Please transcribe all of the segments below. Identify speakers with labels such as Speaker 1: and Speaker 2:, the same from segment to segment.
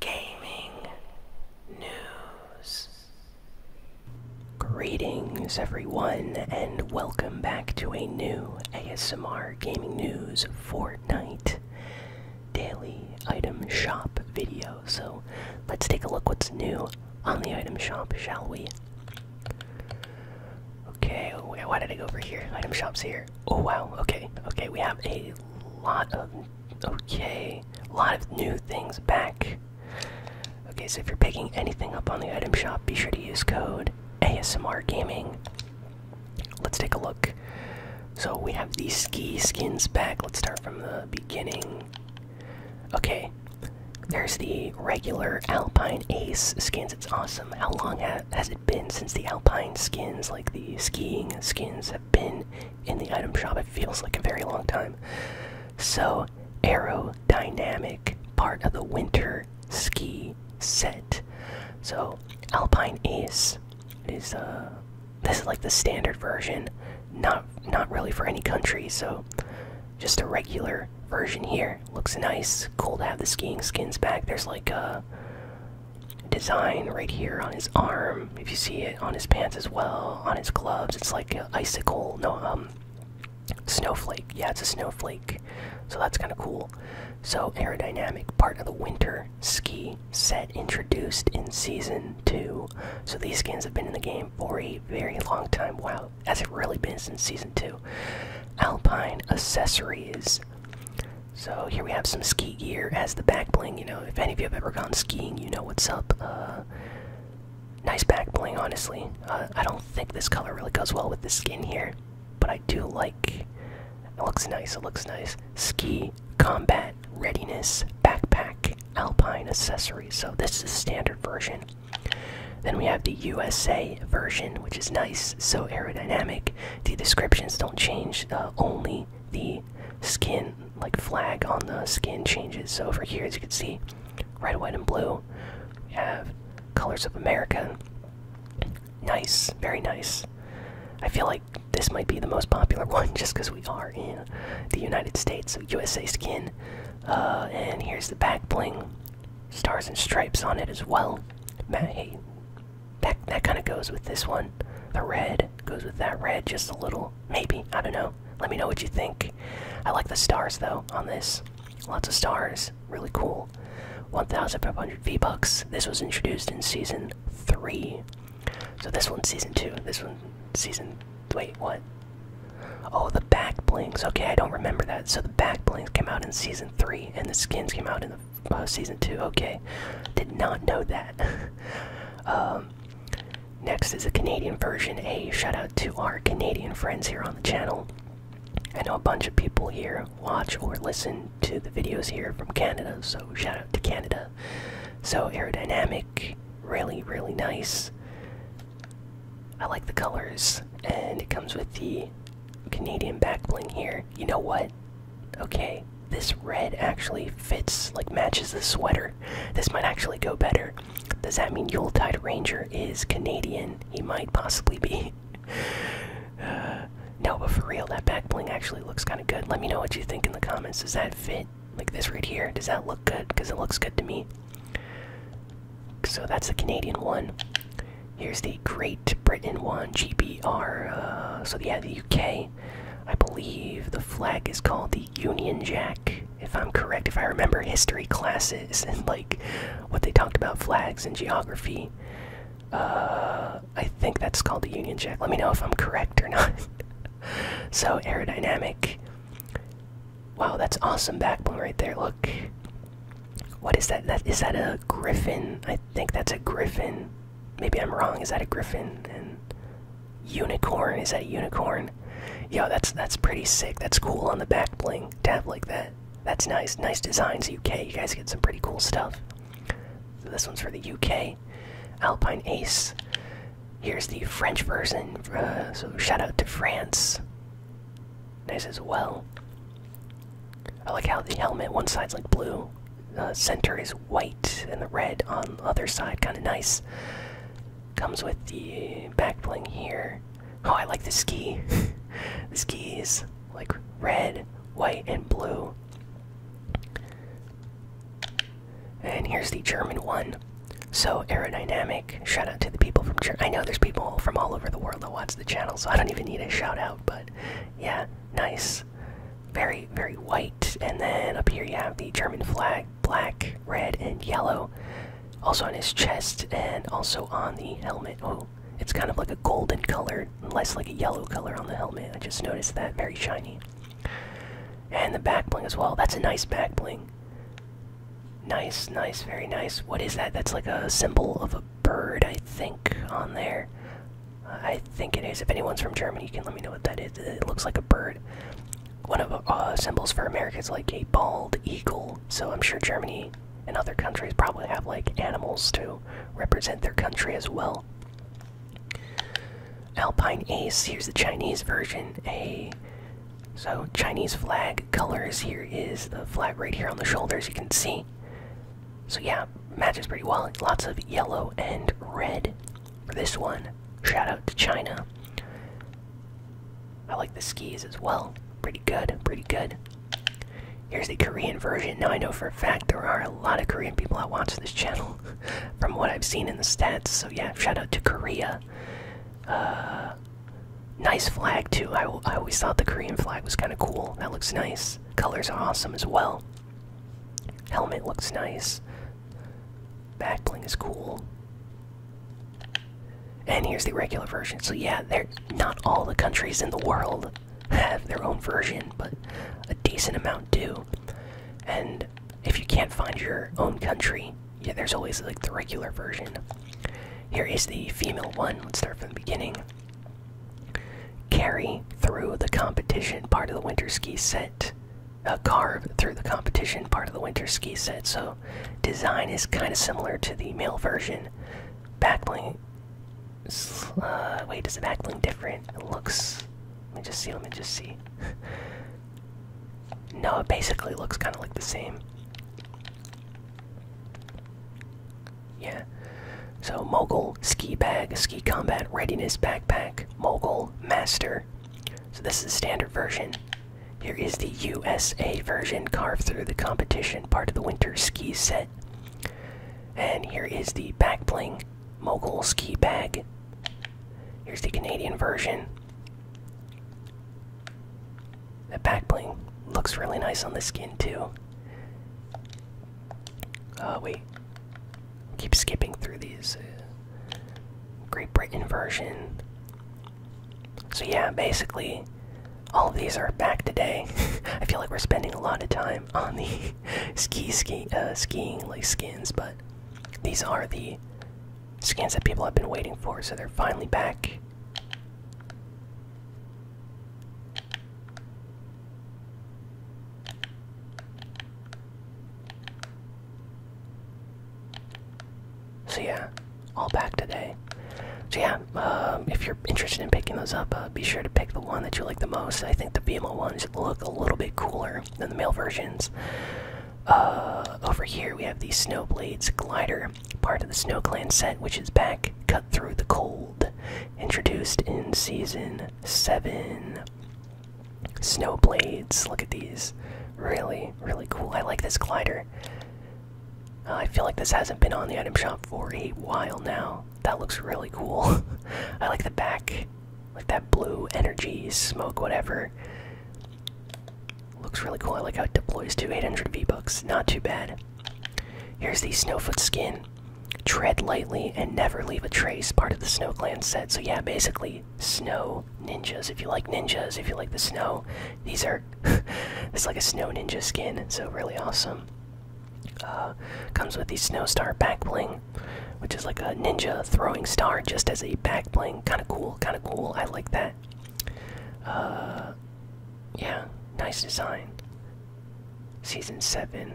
Speaker 1: gaming news. Greetings, everyone, and welcome back to a new ASMR Gaming News Fortnite daily item shop video. So let's take a look what's new on the item shop, shall we? Okay, why did I go over here? Item shop's here. Oh wow, okay, okay, we have a lot of Okay, a lot of new things back. Okay, so if you're picking anything up on the item shop, be sure to use code ASMR Gaming. Let's take a look. So we have these ski skins back. Let's start from the beginning. Okay, there's the regular Alpine Ace skins. It's awesome. How long has it been since the Alpine skins, like the skiing skins, have been in the item shop. It feels like a very long time. So, aerodynamic, part of the winter ski set. So, Alpine Ace is uh, this is like the standard version, not not really for any country. So, just a regular version here. Looks nice. Cool to have the skiing skins back. There's like a uh, design right here on his arm. If you see it on his pants as well, on his gloves, it's like an icicle. No, um, snowflake. Yeah, it's a snowflake. So that's kind of cool. So aerodynamic, part of the winter ski set introduced in season two. So these skins have been in the game for a very long time. Wow, has it really been since season two? Alpine accessories. So here we have some ski gear as the back bling. You know, if any of you have ever gone skiing, you know what's up. Uh, nice back bling, honestly. Uh, I don't think this color really goes well with the skin here, but I do like. It looks nice. It looks nice. Ski combat readiness backpack alpine accessory. So this is the standard version. Then we have the USA version, which is nice, so aerodynamic. The descriptions don't change. Uh, only the skin, like flag on the skin changes. So over here, as you can see, red, white, and blue have colors of America. Nice, very nice. I feel like this might be the most popular one just because we are in the United States, so USA skin. Uh, and here's the back bling, stars and stripes on it as well. Ma hey, that that kind of goes with this one. The red goes with that red just a little. Maybe I don't know. Let me know what you think. I like the stars though on this. Lots of stars. Really cool. 1,500 V bucks. This was introduced in season three. So this one, season two. This one season. Wait, what? Oh, the back blinks. Okay, I don't remember that. So the back blinks came out in season three, and the skins came out in the uh, season two. Okay, did not know that. Um, next is a Canadian version. A shout out to our Canadian friends here on the channel. I know a bunch of people here watch or listen to the videos here from Canada, so shout out to Canada. So aerodynamic, really, really nice. I like the colors, and it comes with the Canadian back bling here. You know what? okay, this red actually fits, like matches the sweater. This might actually go better. Does that mean Yuletide Ranger is Canadian? He might possibly be. no, but for real, that back bling actually looks kind of good. Let me know what you think in the comments. Does that fit? Like this right here? Does that look good? Because it looks good to me. So that's the Canadian one. Here's the Great Britain one, GBR. Uh, so yeah, the UK. I believe the flag is called the Union Jack, if I'm correct. If I remember history classes and like what they talked about flags and geography, uh, I think that's called the Union Jack. Let me know if I'm correct or not. so aerodynamic. Wow, that's awesome backbone right there. Look, what is that? That is that a griffin? I think that's a griffin. Maybe I'm wrong. Is that a griffin? And unicorn is that a unicorn? Yo, that's that's pretty sick. That's cool on the back bling tab like that. That's nice. Nice designs, UK. You guys get some pretty cool stuff. this one's for the UK. Alpine Ace. Here's the French version. Uh, so shout out to France. Nice as well. I like how the helmet, one side's like blue, the center is white, and the red on the other side, kind of nice. Comes with the back bling here. Oh, I like the ski. the is like red, white, and blue. And here's the German one. So aerodynamic. Shout out to the people from Germany. I know there's people from all over the world that watch the channel, so I don't even need a shout out. But yeah, nice, very very white. And then up here you have the German flag, black, red, and yellow. Also on his chest and also on the helmet. Oh, it's kind of like a golden color, less like a yellow color on the helmet. I just noticed that very shiny. And the back bling as well. That's a nice back bling. Nice, nice, very nice. What is that? That's like a symbol of a bird, I think, on there. Uh, I think it is. If anyone's from Germany, you can let me know what that is. It looks like a bird. One of uh, symbols for America is like a bald eagle. So I'm sure Germany and other countries probably have like animals to represent their country as well. Alpine Ace. Here's the Chinese version. A so Chinese flag colors. Here is the flag right here on the shoulders you can see. So, yeah, matches pretty well. Lots of yellow and red for this one. Shout out to China. I like the skis as well. Pretty good, pretty good. Here's the Korean version. Now, I know for a fact there are a lot of Korean people that watch this channel from what I've seen in the stats. So, yeah, shout out to Korea. Uh, Nice flag too. I, I always thought the Korean flag was kind of cool. That looks nice. Colors are awesome as well. Helmet looks nice. Back bling is cool. And here's the regular version. So yeah, they're not all the countries in the world have their own version, but a decent amount do. And if you can't find your own country, yeah, there's always like the regular version. Here is the female one. Let's start from the beginning. Carry through the competition part of the winter ski set. A uh, carve through the competition part of the winter ski set. So, design is kind of similar to the male version. Backbling. Uh, wait, is the backbling different? It looks. Let me just see. Let me just see. no, it basically looks kind of like the same. Yeah. So mogul ski bag, ski combat readiness backpack, mogul master. So this is the standard version. Here is the USA version carved through the competition, part of the winter ski set. And here is the back bling mogul ski bag. Here's the Canadian version. That back bling looks really nice on the skin too. Uh, wait. Keep skipping through these. Uh, Great Britain version. So yeah, basically, all these are back today. I feel like we're spending a lot of time on the ski ski uh, skiing like skins, but these are the skins that people have been waiting for. So they're finally back. So yeah, all back today. So yeah, um, if you're interested in picking those up, uh, be sure to pick the one that you like the most. I think the BMO ones look a little bit cooler than the male versions. Uh, over here we have the Snowblades glider, part of the Snow Clan set, which is back. Cut through the cold, introduced in season seven. Snowblades, look at these, really, really cool. I like this glider. Uh, I feel like this hasn't been on the item shop for a while now. That looks really cool. I like the back, like that blue energy smoke, whatever. Looks really cool. I like how it deploys to 800 V-Bucks. Not too bad. Here's the Snowfoot skin. Tread lightly and never leave a trace, part of the Snow Clan set. So, yeah, basically, snow ninjas. If you like ninjas, if you like the snow, these are. it's like a snow ninja skin, so really awesome. Uh, comes with the Snowstar back bling, which is like a ninja throwing star just as a back bling. Kind of cool, kind of cool. I like that. Uh, yeah, nice design. Season 7.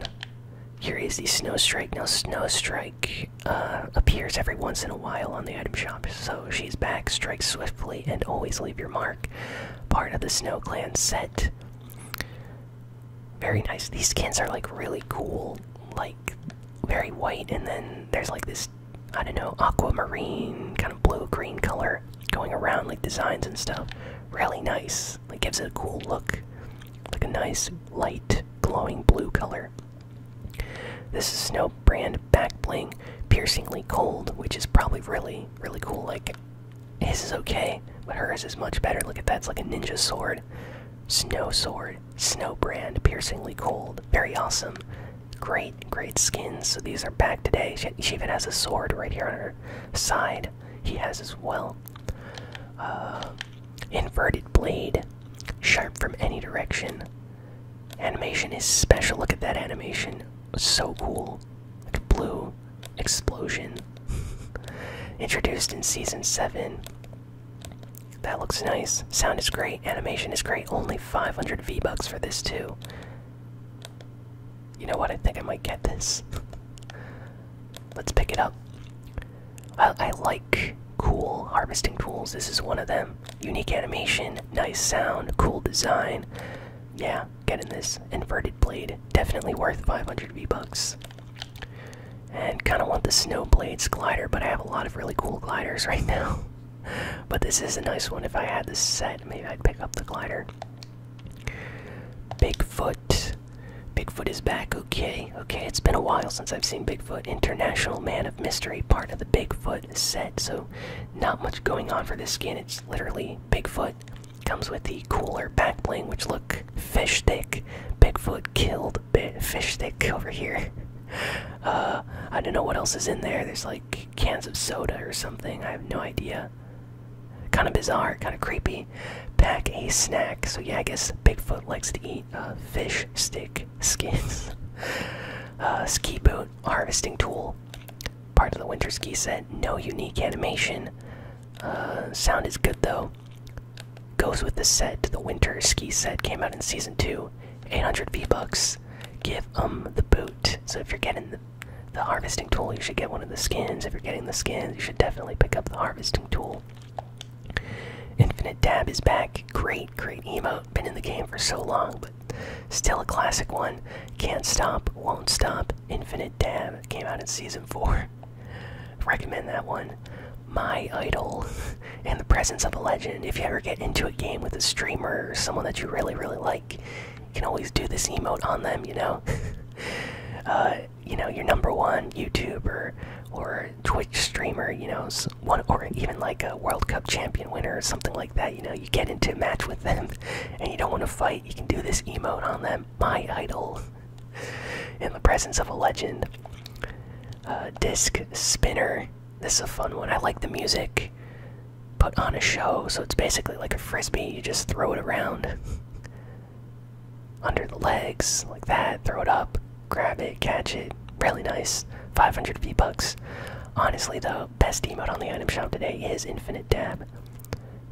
Speaker 1: Here is the Snow Strike. Now, Snow Strike uh, appears every once in a while on the item shop, so she's back. Strike swiftly and always leave your mark. Part of the Snow Clan set. Very nice. These skins are like really cool, like very white, and then there's like this I don't know aquamarine kind of blue green color going around like designs and stuff. Really nice. Like gives it a cool look, like a nice light glowing blue color. This is Snow brand back bling, piercingly cold, which is probably really really cool. Like this is okay, but hers is much better. Look at that. It's like a ninja sword. Snow Sword, Snow Brand, Piercingly Cold. Very awesome. Great, great skins. So these are back today. She, even has a sword right here on her side. He has as well. Uh, inverted Blade, Sharp from any direction. Animation is special. Look at that animation. So cool. Like blue explosion. Introduced in season 7. That looks nice. Sound is great. Animation is great. Only 500 V-Bucks for this, too. You know what? I think I might get this. Let's pick it up. I, like cool harvesting tools. This is one of them. Unique animation, nice sound, cool design. Yeah, getting this inverted blade. Definitely worth 500 V-Bucks. And kind of want the Snowblades glider, but I have a lot of really cool gliders right now. but this is a nice one. If I had this set, maybe I'd pick up the glider. Bigfoot. Bigfoot is back. Okay, okay. It's been a while since I've seen Bigfoot. International Man of Mystery, part of the Bigfoot set. So, not much going on for this skin. It's literally Bigfoot. Comes with the cooler back bling, which look fish stick. Bigfoot killed fish stick over here. Uh, I don't know what else is in there. There's like cans of soda or something. I have no idea. Kind of bizarre, kind of creepy. Pack a snack. So yeah, I guess Bigfoot likes to eat uh, fish stick skins. Uh, ski boot harvesting tool. Part of the winter ski set. No unique animation. sound is good though goes with the set. The winter ski set came out in season two. 800 V bucks. Give them the boot. So if you're getting the, harvesting tool, you should get one of the skins. If you're getting the skins, you should definitely pick up the harvesting tool. Infinite Dab is back. Great, great emo. Been in the game for so long, but still a classic one. Can't stop, won't stop. Infinite Dab came out in season four. Recommend that one. My Idol and the presence of a legend. If you ever get into a game with a streamer or someone that you really, really like, you can always do this emote on them, you know? uh, you know, your number one YouTuber or Twitch streamer, you know, one or even like a World Cup champion winner or something like that, you know, you get into a match with them and you don't want to fight, you can do this emote on them. My Idol in the presence of a legend. disc spinner. This is a fun one. I like the music. Put on a show, so it's basically like a frisbee. You just throw it around under the legs like that. Throw it up, grab it, catch it. Really nice. 500 V bucks. Honestly, the best emote on the item shop today is Infinite Dab.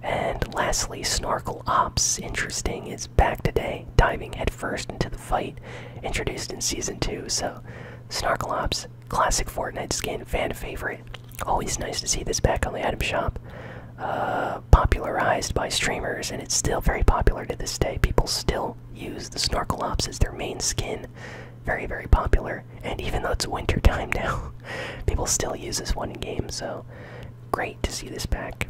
Speaker 1: And lastly, Snorkel Ops. Interesting back today, diving headfirst into the fight introduced in Season 2. So, Snarklops, classic Fortnite skin, fan favorite. Always nice to see this back on the item shop. Uh, popularized by streamers, and it's still very popular to this day. People still use the Snarklops as their main skin. Very, very popular. And even though it's winter time now, people still use this one in game, so great to see this back.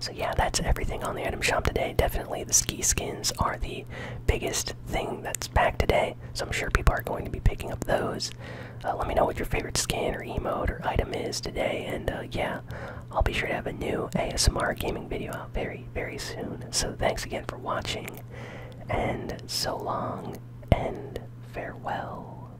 Speaker 1: So yeah, that's everything on the item shop today. Definitely the ski skins are the biggest thing that's back today. So I'm sure people are going to be picking up those. Uh, let me know what your favorite skin or emote or item is today. And uh, yeah, I'll be sure to have a new ASMR gaming video out very, very soon. So thanks again for watching. And so long and farewell.